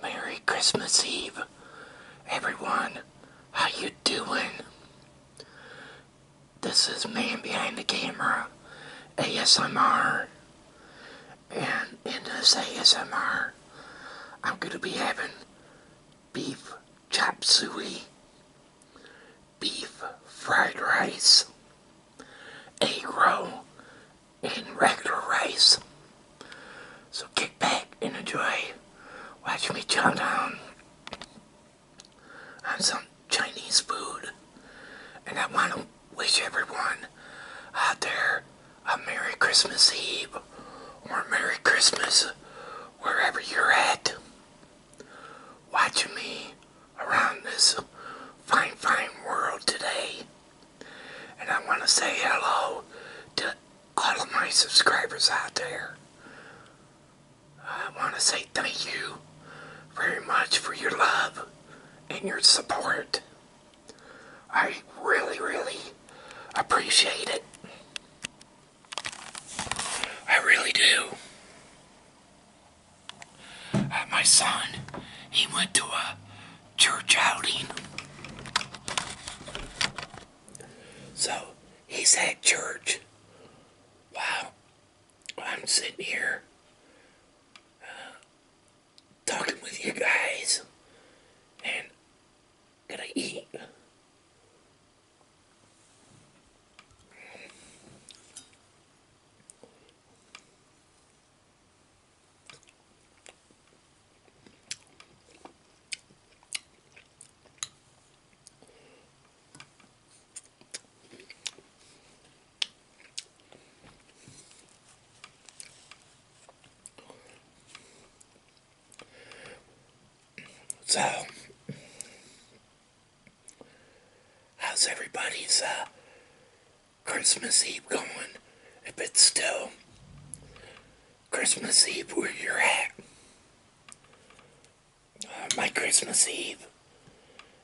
Merry Christmas Eve, everyone. How you doing? This is Man Behind the Camera, ASMR. And in this ASMR, I'm going to be having beef chop suey, beef fried rice, egg roll, in regular race, So kick back and enjoy. Watch me chow down on some Chinese food. And I want to wish everyone out there a Merry Christmas Eve or Merry Christmas wherever you're at watching me around this fine, fine world today. And I want to say hello to all of my subscribers out there. I want to say thank you very much for your love and your support. I really, really appreciate it. I really do. Uh, my son, he went to a church outing. So he's at church. Wow. I'm sitting here uh, talking with you guys and gonna eat. So, how's everybody's uh, Christmas Eve going. If it's still Christmas Eve where you're at. Uh, my Christmas Eve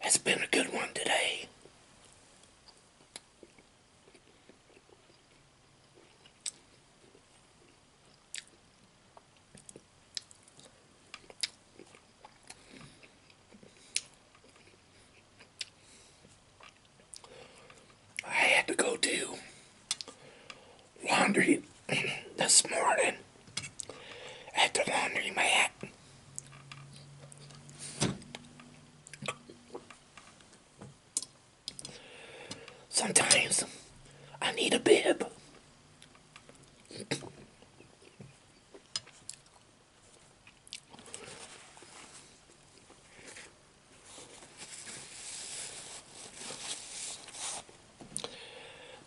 has been a good one today. I had to go do laundry this morning at the laundromat. Sometimes I need a bib.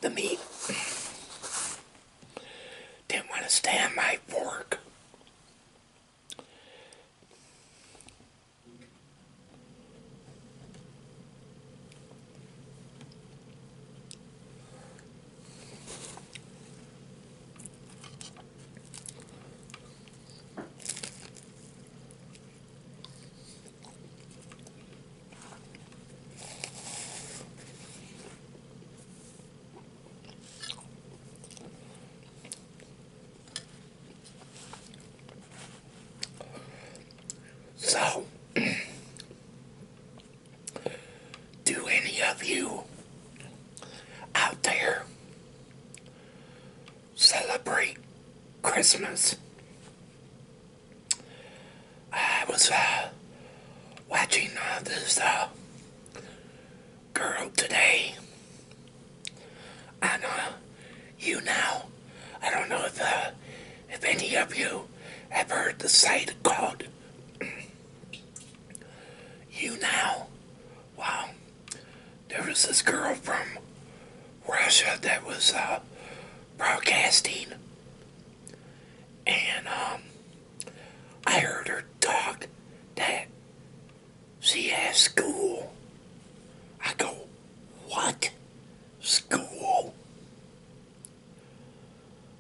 The meat didn't want to stand my fork. So, do any of you out there celebrate Christmas. I was uh, watching uh, this uh, girl today on uh, You Now. I don't know if if any of you have heard the site called You Now wow, there was this girl from Russia that was uh, broadcasting, and um, I heard her talk that she has school. I go, what? School?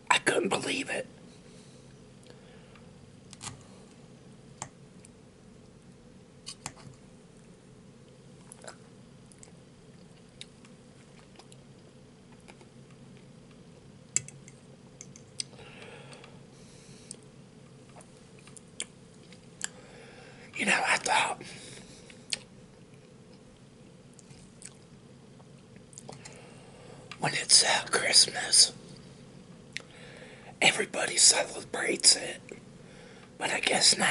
I couldn't believe it. You know, I thought when it's uh, Christmas, everybody celebrates it, but I guess not.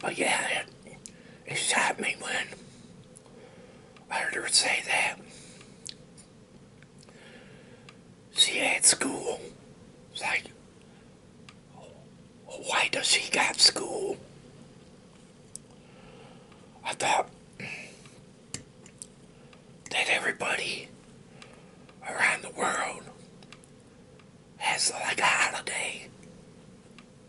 But yeah, it, it shot me when I heard her say that. She had school. It's like, why does she got school? I thought that everybody around the world has like a holiday.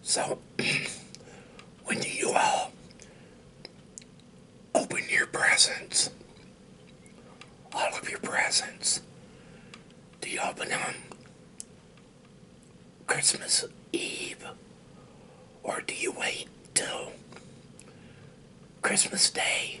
So, when do you all uh, open your presents, all of your presents. Do you open them Christmas Eve, or do you wait till Christmas Day?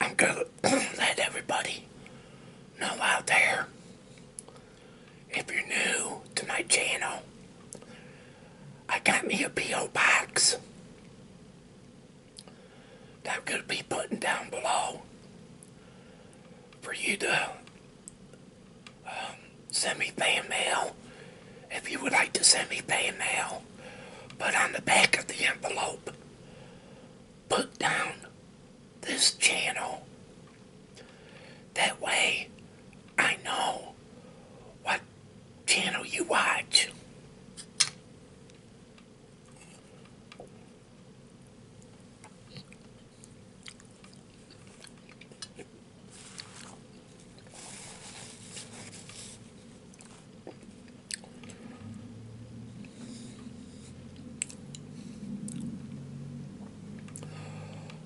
I'm gonna let everybody know out there if you're new to my channel, I got me a P.O. box that could be putting down below for you to um, send me fan mail if you would like to send me fan mail. But on the back of the envelope, put down this channel. That way I know what channel you watch.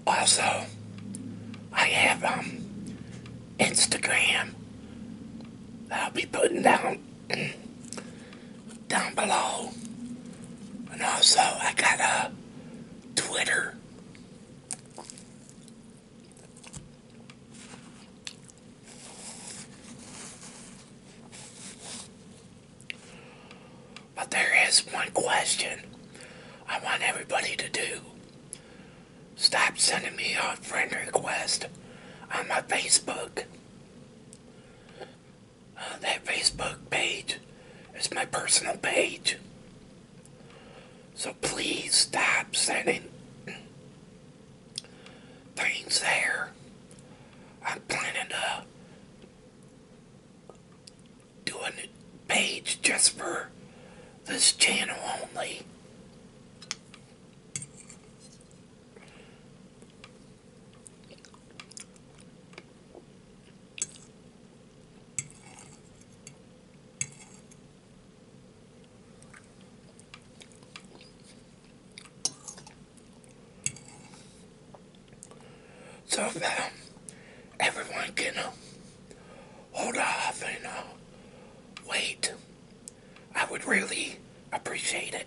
Also, I have um, Instagram. I'll be putting down down below, and also I got a Twitter. But there is one question I want everybody to do. Stop sending me a friend request on my Facebook. Uh, that Facebook page is my personal page. So please stop sending things there. I'm planning to do a page just for this channel only so that uh, everyone can uh, hold off and uh, wait. I would really appreciate it.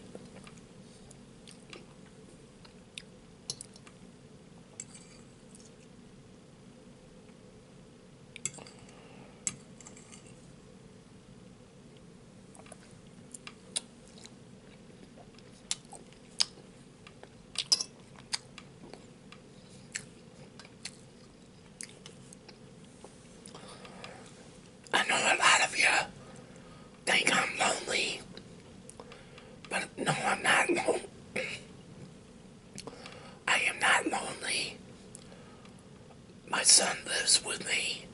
I know a lot of you think I'm lonely, but no, I'm not lonely. I am not lonely my son lives with me,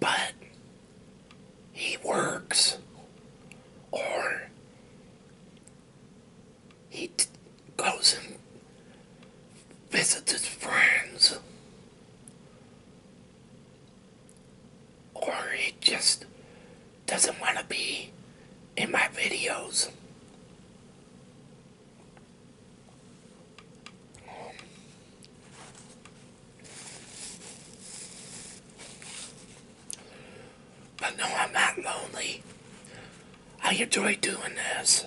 but he works or he goes and visits his friends or he just doesn't want to be in my videos. But no, I'm not lonely. I enjoy doing this.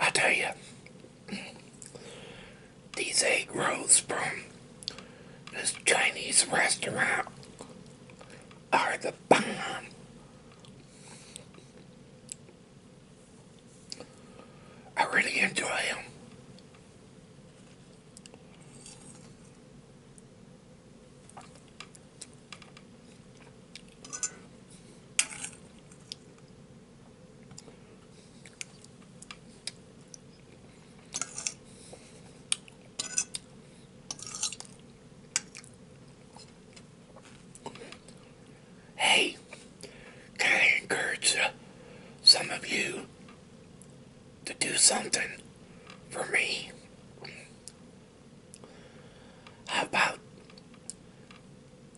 I tell you, these egg rolls from this Chinese restaurant are the bomb. I really enjoy them. Hey, can I encourage uh, some of you to do something for me? How about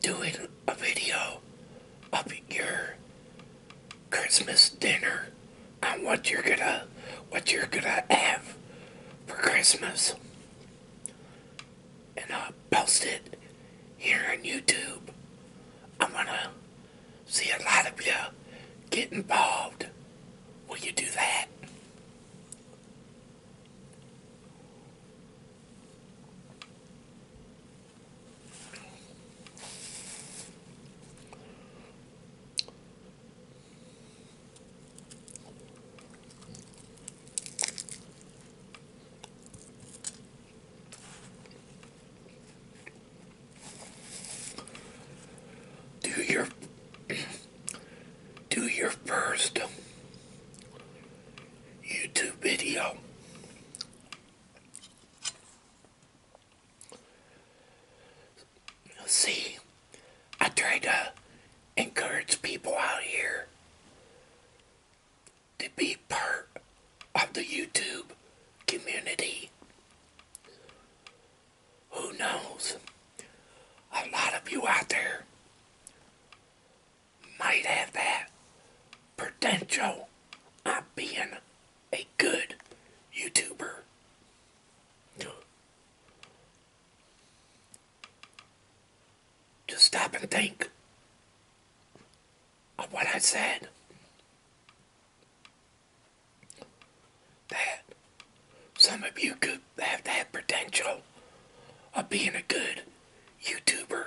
doing a video of your Christmas dinner and what you're gonna what you're gonna have for Christmas and I'll post it here on YouTube. I wanna see a lot of you get involved. Will you do that? Do your do your first YouTube video. See, I try to encourage people out here to be part of the YouTube community. Who knows? A lot of you out there might have that potential of being a good YouTuber. Just stop and think of what I said. That some of you could have that potential of being a good YouTuber.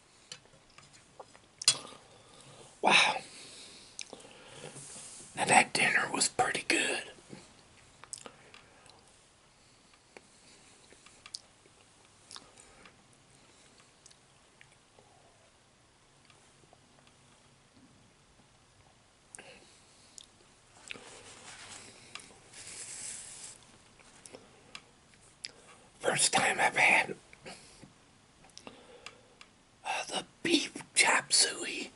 Wow. Now that dinner was pretty good. First time I've had the beef chop suey.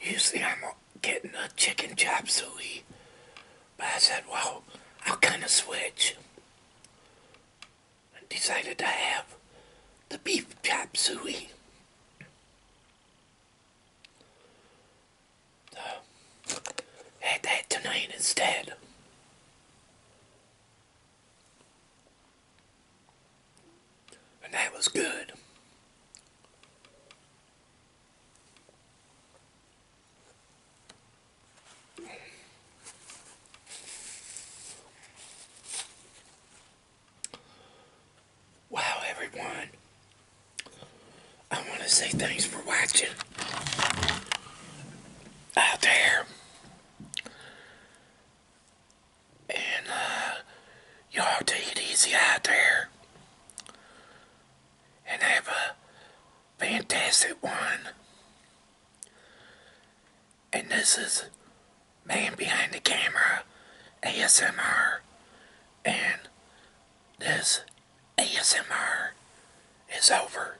Usually I'm getting a chicken chop suey. But I said, well, I'll kind of switch. And decided to have the beef chop suey. So, had that tonight instead. And that was good. Wow, everyone. I want to say thanks for watching out there. And, uh, y'all take it easy out there. And have a fantastic one. And this is Man Behind the Camera ASMR. And this ASMR is over.